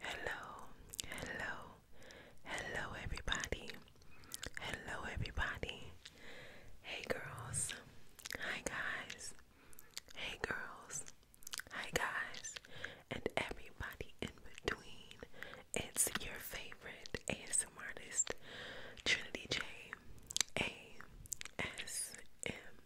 Hello, hello, hello, everybody. Hello, everybody. Hey, girls. Hi, guys. Hey, girls. Hi, guys. And everybody in between. It's your favorite ASMR artist, Trinity J. A. S. M.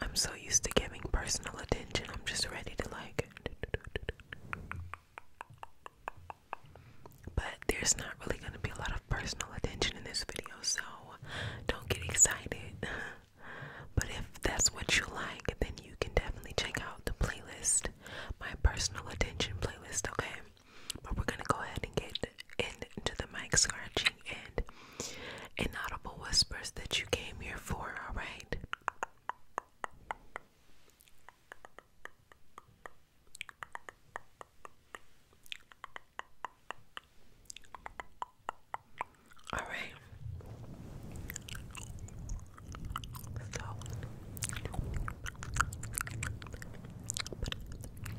I'm so used to giving personal attention, I'm just ready to like. But there's not really going to be a lot of personal attention in this video, so don't get excited. but if that's what you like, then you can definitely check out the playlist, my personal attention playlist, okay? But we're going to go ahead and get into the mic scratch and inaudible whispers that you came here for, all right? All right. So,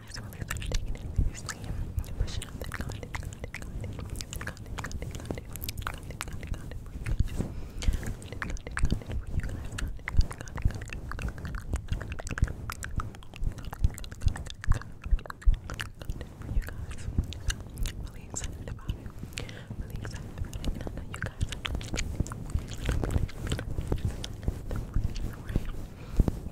I swear I'm taking it seriously. Pushing up that content, content, content, content, content, content, content, content, content for you guys. Content, content, content for you guys. Content, content, content, content, content for you guys. So, really excited about it. Really excited about it. And I know you guys are really excited about it. Right.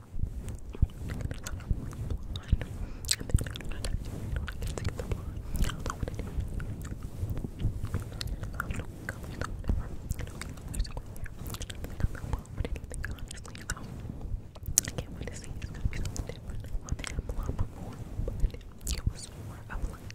can't wait to see. It's gonna be something different. I think I'm a lot more, but it was more of like.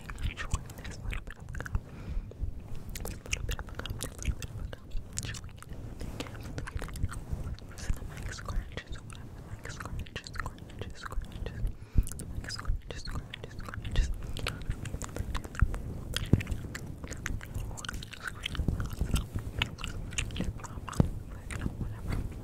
chewing this little bit of gum. This little bit of gum, this little bit of gum. Chewing it. Look at it. So the mic scratches away. The mic scratches, scratches, scratches. The mic scratches, scratches, scratches. Whatever.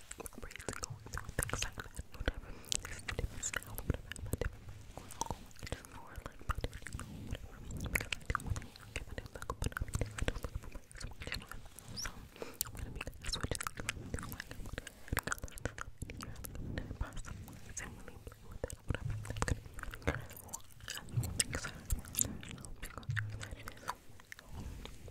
raised and going through with excitement, whatever. There's a different style, whatever. I'm a different language, more like my different, you know, whatever. Because I do want to give it a look, but I'm different. I'm looking for my switch, you know. So, I'm gonna be gonna switch it to like, whatever. It's really playing with it, whatever. That's gonna be really good. I'm excited about that, you know, because that is.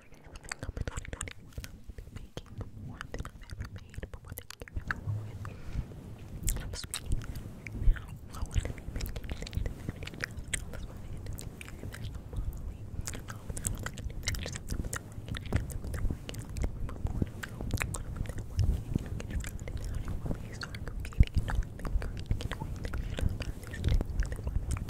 summer and everything up in 2021. I will be making more than I've ever made, but what they give me with. I'm speaking now. I want to be making things that's what I do. There's no modeling. No, I don't think I do that. Just have to put the work in. Have to put the work in. But more to go. Put the work in. You know, get your friend in. How do you want me to start creating? You know, I think creating. You know, I think you should start this day. Then my mom